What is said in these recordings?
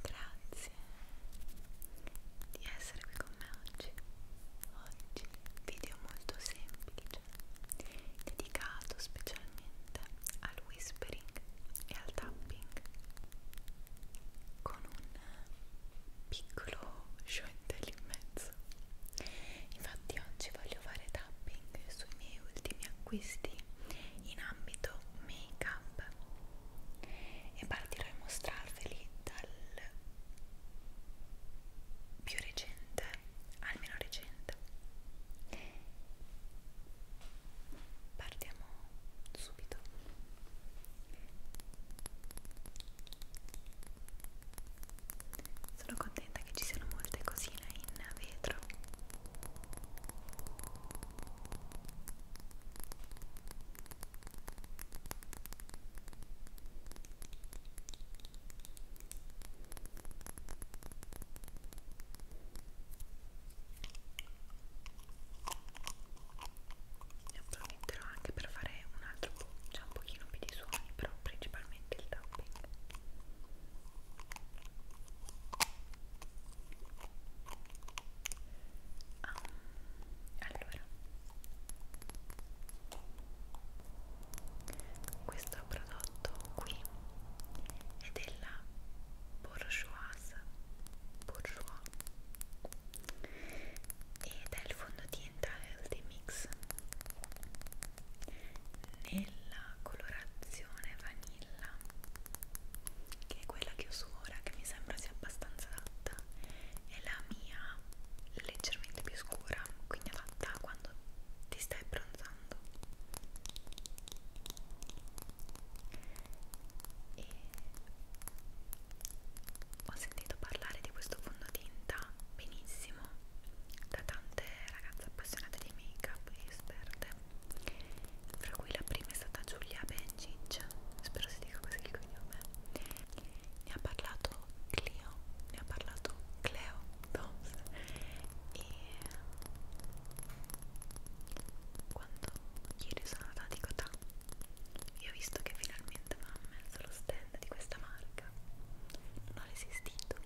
grazie di essere qui con me oggi oggi video molto semplice dedicato specialmente al whispering e al tapping con un piccolo sciointello in mezzo infatti oggi voglio fare tapping sui miei ultimi acquisti in ambito make up e partirò a mostrarveli dal più recente al meno recente partiamo subito sono contenta che ci siano molte cosine in vetro ne approfitterò anche per fare un altro cioè un pochino più di suoni, però principalmente il tapping. Ah, allora questo prodotto qui è della Bourgeoise Bourgeois ed è il fondotinta Healthy Mix nella colorazione vaniglia vanilla che è quella che uso ora che mi sembra sia abbastanza adatta è la mia leggermente più scura quindi adatta quando ti stai bronzando e ho sentito parlare di questo fondotinta benissimo da tante ragazze appassionate di make up e esperte fra cui la prima è stata Giulia Bencic, spero si dica così il cognome, ne ha parlato Clio, ne ha parlato Cleo Toms e quando ieri sono andata a Cotà io ho visto che finalmente avevano messo lo stand di questa marca, non ho resistito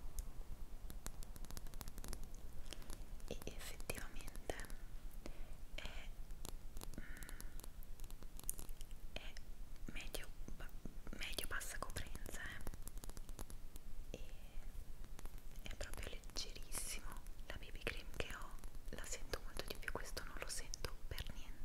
e effettivamente è, mm, è medio, medio bassa coprenza eh. e è proprio leggerissimo la baby cream che ho la sento molto di più questo non lo sento per niente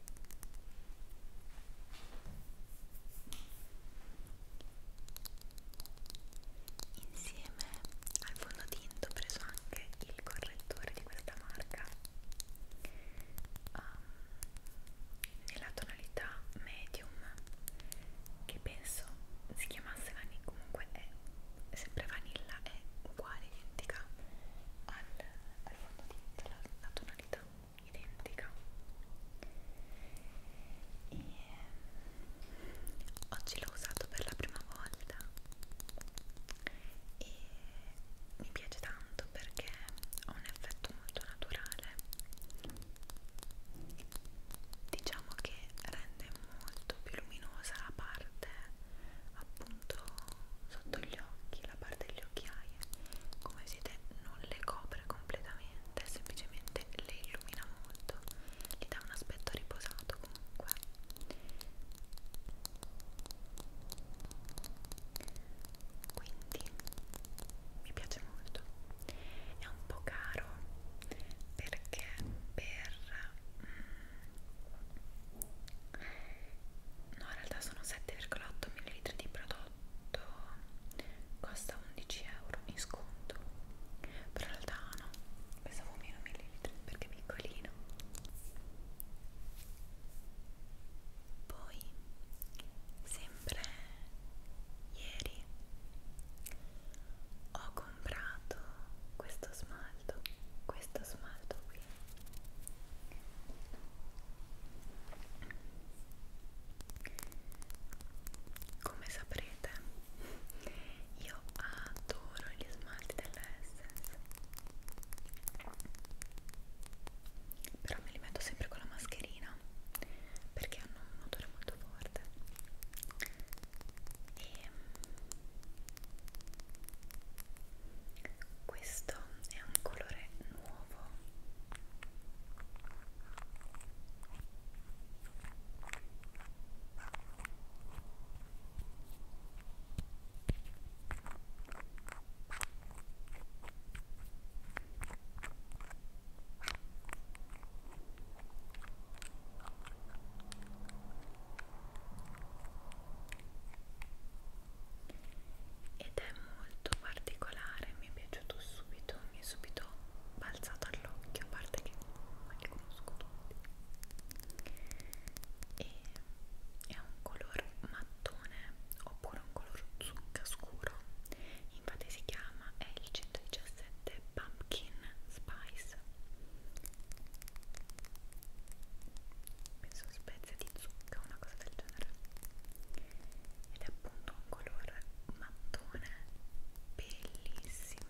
Insieme al fondotinta ho preso anche il correttore di questa marca um, nella tonalità medium che penso si chiamasse vanilla, comunque è sempre vanilla, è uguale, identica al, al fondotinta, la, la tonalità tonalità identica e ehm, oggi l'ho usato per la prima volta e mi piace tanto perché ha un effetto molto naturale diciamo che rende molto più luminosa la parte appunto sotto gli occhi, la parte degli occhiaie come vedete non le copre completamente, semplicemente le illumina molto gli dà un aspetto riposato comunque quindi mi piace molto è un po' caro perché per mm, no in realtà sono 7,8 ml di prodotto costa 11 euro in sconto però in realtà no pensavo meno millilitri perché è piccolino poi sempre ieri ho comprato questo smalto questo smalto qui come saprete, io adoro gli smalti dell'Essence, però me li metto sempre con la mascherina perché hanno un odore molto forte. E questo è un colore nuovo ed è molto particolare mi è piaciuto subito mi è subito balzato all'occhio a parte che non li conosco tutti e è un color mattone oppure un color zucca scuro infatti si chiama è il 117 pumpkin spice penso spezie di zucca una cosa del genere ed è appunto un colore mattone bellissimo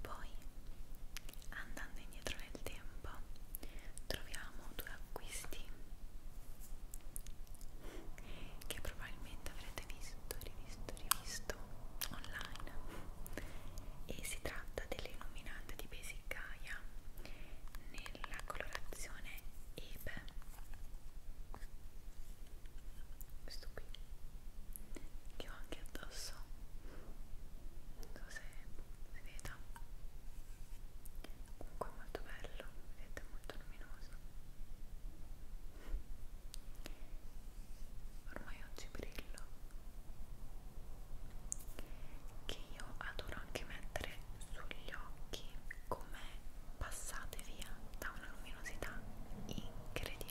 Poi, andando indietro nel tempo, troviamo due acquisti che probabilmente avrete visto, rivisto, rivisto online e si tratta delle illuminazioni deodorante di Basic Gaia nella colorazione Ebe questo qui che ho anche addosso non so se si veda comunque è molto bello vedete è molto luminoso ormai oggi brillo che io adoro anche mettere sugli occhi come passate via da una luminosità incredibile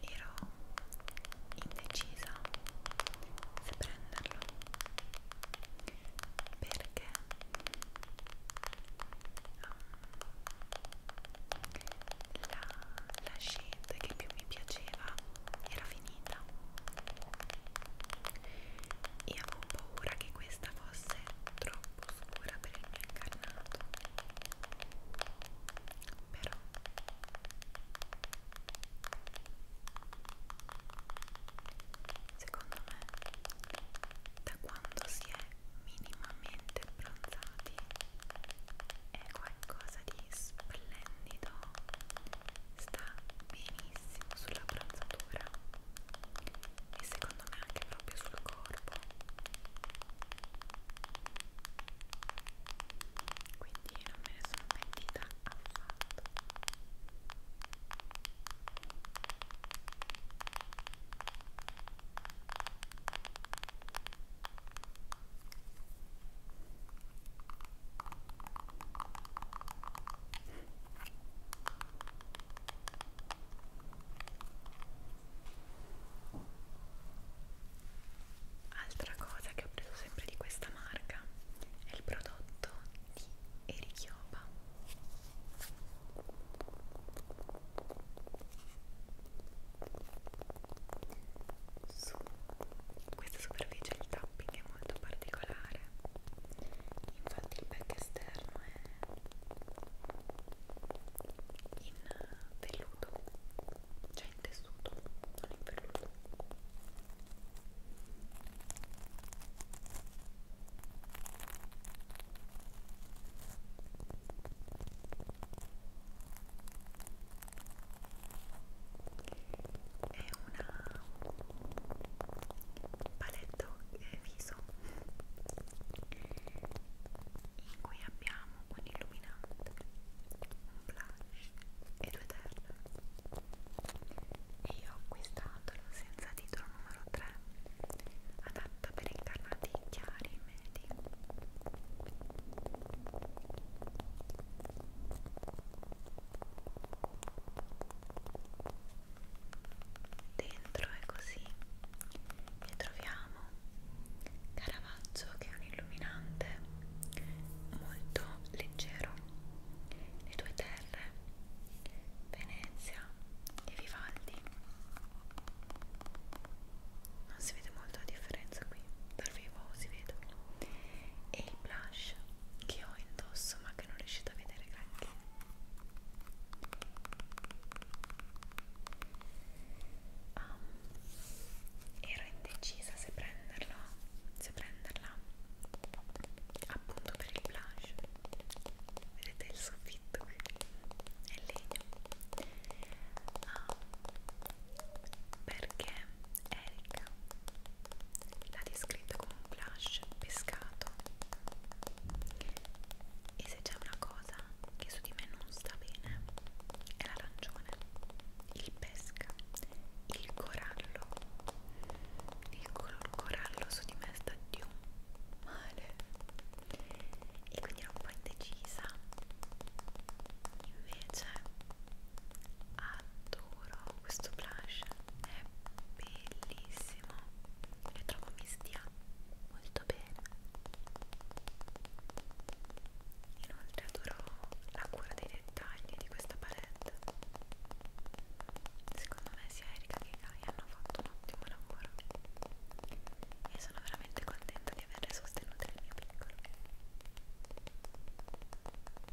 Ero indecisa se prenderlo perché um, la, la scelta che più mi piaceva era finita e avevo paura che questa fosse troppo scura per il mio incarnato però secondo me da quando si è minimamente bronzati è qualcosa di splendido sta benissimo sulla bronzatura e secondo me anche proprio sul corpo quindi non me ne sono pentita affatto Altra cosa che ho preso sempre di questa marca è il prodotto di Erichiopa. Su questa superficie il tapping è molto particolare, infatti il back esterno in velluto cioè in tessuto non in velluto è una palette eh, viso in cui abbiamo un illuminante, un blush e due terre e io ho acquistatolo senza titolo numero 3 adatta per incarnati chiari e medi dentro è così e troviamo Caravaggio che è un illuminante molto leggero le due terre Venezia e Vivaldi non si vede molto la differenza qui dal vivo si vede e il blush che ho indosso ma che non riuscite a vedere granché um, ero indecisa se prenderlo se prenderla appunto per il blush vedete il soffitto qui è legno um, perché Erika l'ha descritto come un blush pescato e se c'è una cosa che su di me non sta bene è l'arancione il pesca il corallo il color corallo su di me sta di un male e quindi ero un po' indecisa invece adoro giuro questo blush è bellissimo e trovo mi stia molto bene inoltre adoro la cura dei dettagli di questa palette secondo me sia Erika che Gaia hanno fatto un ottimo lavoro e sono veramente contenta di averle sostenute nel mio piccolo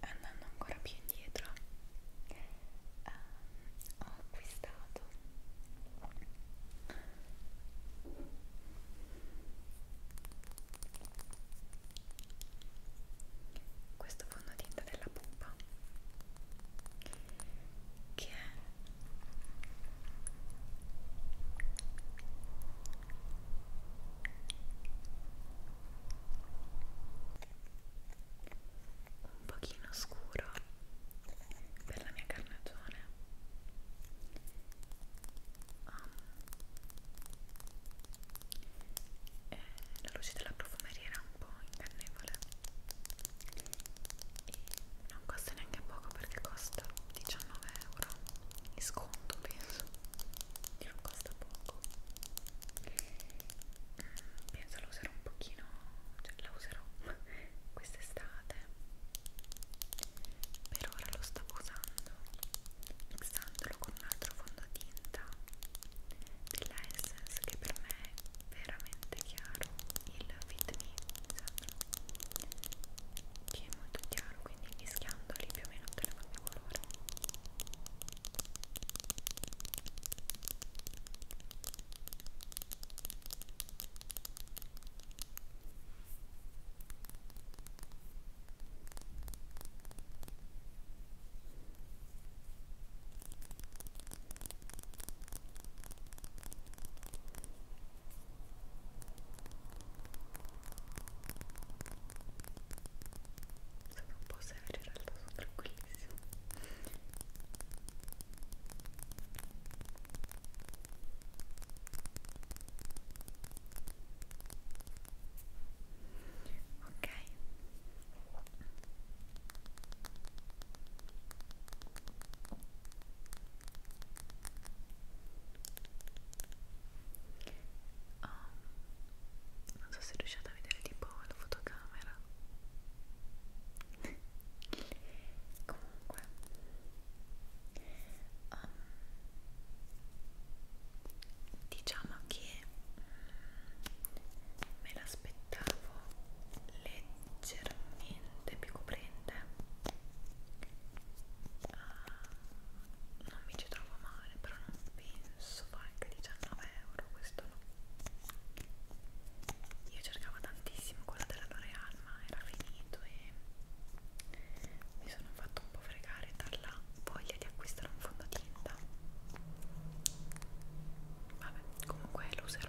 andando ancora più indietro um, ho acquistato questo fondotinta della pupa che è un pochino scuro per la mia carnagione um, la luce della profumeria era un po' ingannevole e non costa neanche poco perché costa 19 euro di sconto penso non costa poco mm, penso la userò un pochino cioè la userò quest'estate per ora lo stavo usando mixandolo con un altro fondotinta della Essence che per me veramente chiaro il fit me che è molto chiaro quindi mischiandoli più o meno ottengo il mio colore sono un po' severo in realtà, sono tranquillissimo ok Oh, non so se riuscite a vedere tipo la fotocamera comunque um, diciamo che mm, me la aspettavo leggermente più coprente uh, non mi ci trovo male però non penso valga 19 euro questo no io cercavo tantissimo quello della L'Oreal ma era finito e mi sono fatto un po' fregare dalla voglia di acquistare un fondotinta Vabbè, comunque è loser.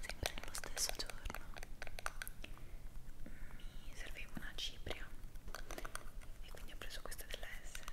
Sempre nello stesso giorno mi serviva una cipria e quindi ho preso questa della Essence.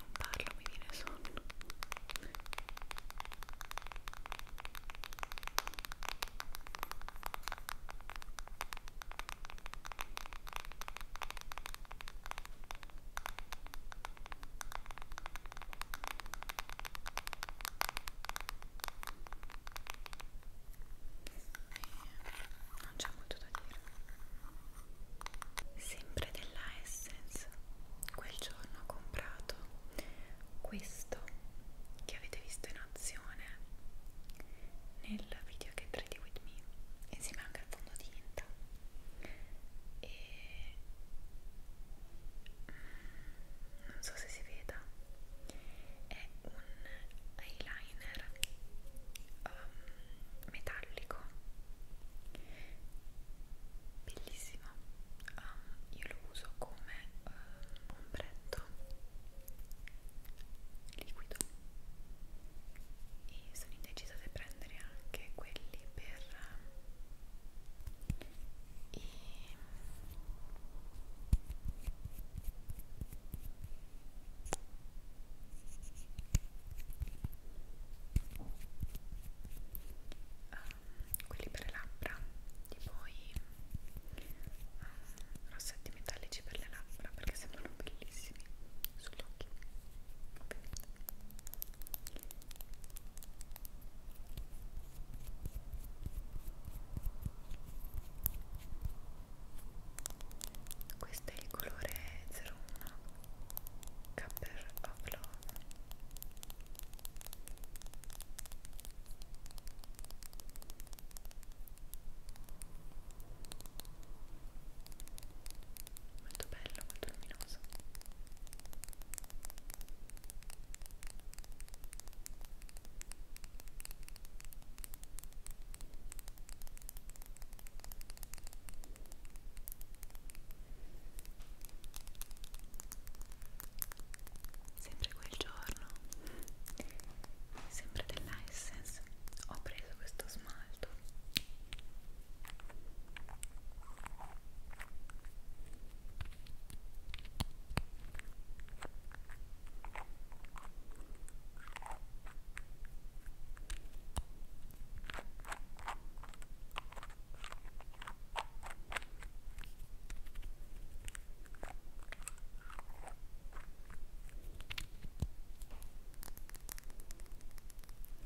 non parlo mi viene sonno e eh, non c'è molto da dire sempre della Essence quel giorno ho comprato questo che avete visto in azione nel video che 3D With Me insieme anche al fondotinta e mm, non so se si veda è un eyeliner um, metallico bellissima um, io lo uso come uh, ombretto liquido e sono indecisa di prendere anche quelli per uh, i um, quelli per le labbra e poi um, rossetti metallici per le labbra perché sembrano bellissimi sugli occhi ovviamente questo è il colore 01 Cupper of Love molto bello, molto luminoso sempre quel giorno sempre dell'Essence ho preso questo smalto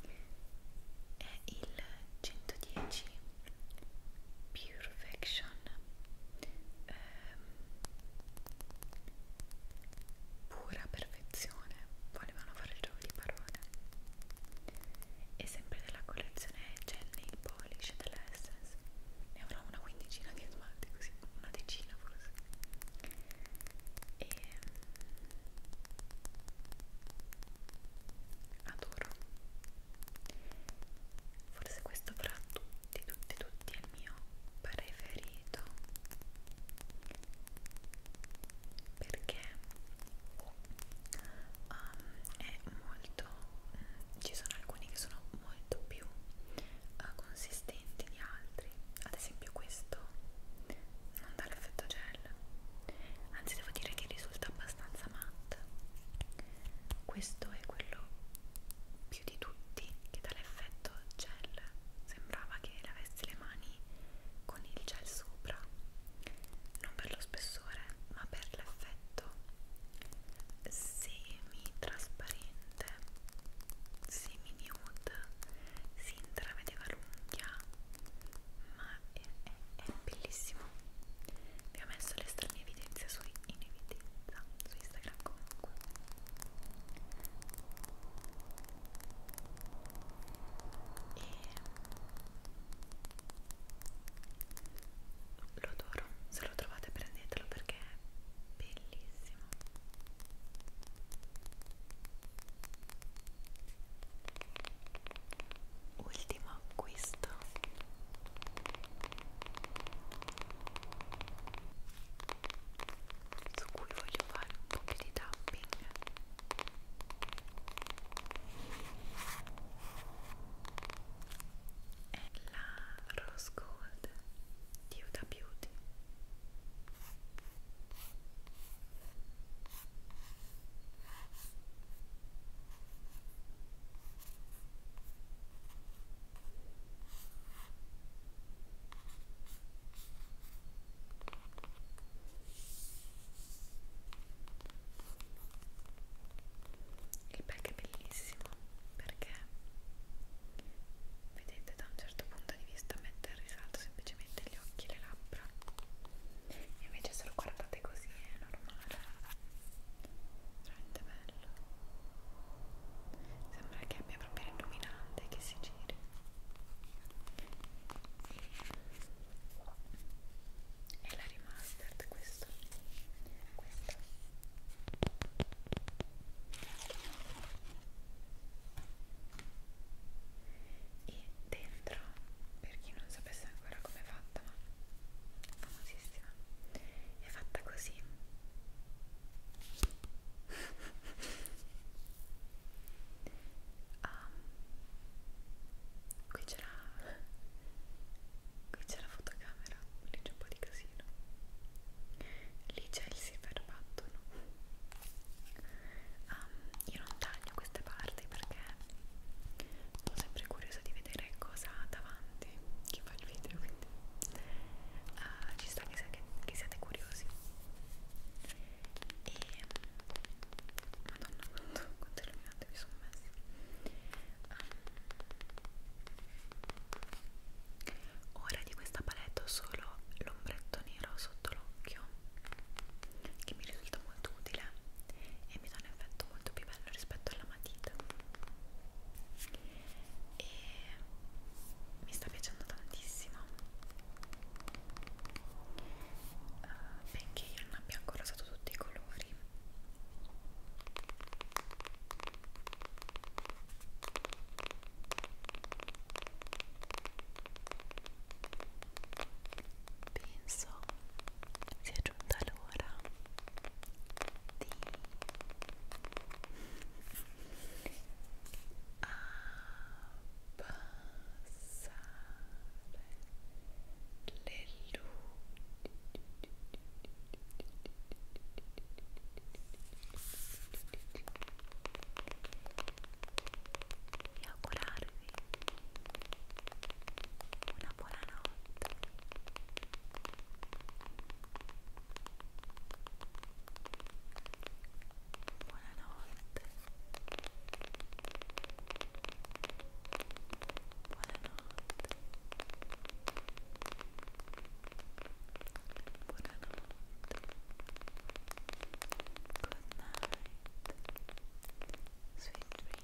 è il 110 Purefection ehm, pura perfezione volevano fare il gioco di parole e sempre della collezione gel nail polish della Essence ne avrò una quindicina di smalti così una decina forse e mm, adoro forse questo fra tutti tutti tutti è il mio preferito perché um, è molto mh, mm, ci sono alcuni che sono molto più uh, consistenti di altri ad esempio questo non dà l'effetto gel anzi devo dire che risulta abbastanza matte questo è quello più di tutti che dà l'effetto gel sembrava che lavessi le mani con il gel sopra non per lo spessore ma per l'effetto semi trasparente semi nude si intravedeva l'unghia ma è, è, è bellissimo vi ho messo le strane evidenze su in evidenza su Instagram comunque e lo adoro se lo trovate prendetelo perché è bellissimo ultimo acquisto su cui voglio fare un po' più di tapping è la Rose Gold di Huda Beauty il pack è bellissimo perché vedete da un certo punto di vista mette in risalto semplicemente gli occhi e le labbra e invece se lo guardate così è normale veramente bello sembra che abbia proprio illuminante che si giri è la remastered questo questa e dentro per chi non sapesse ancora come è fatta ma famosissima è fatta così um, qui c'era qui c'è la fotocamera lì c'è un po' di casino lì c'è il silver button um, io non taglio queste parti perché sono sempre curiosa di vedere cosa ha davanti chi fa il video quindi uh, ci sta che, che siate curiosi e madonna quanto, quanto illuminante mi sono messa um, ora di questa palette ho solo l'ombretto nero sotto l'occhio che mi risulta molto utile e mi dà un effetto molto più bello rispetto alla matita e mi sta piacendo tantissimo uh, benché io non abbia ancora usato tutti i colori penso sia giunta l'ora di ah, passare le luci e augurarvi una buona notte Buonanotte. Buonanotte. Buonanotte. Good night. Sweet dream.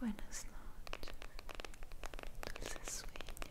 Buenas noches. Dulces sueños.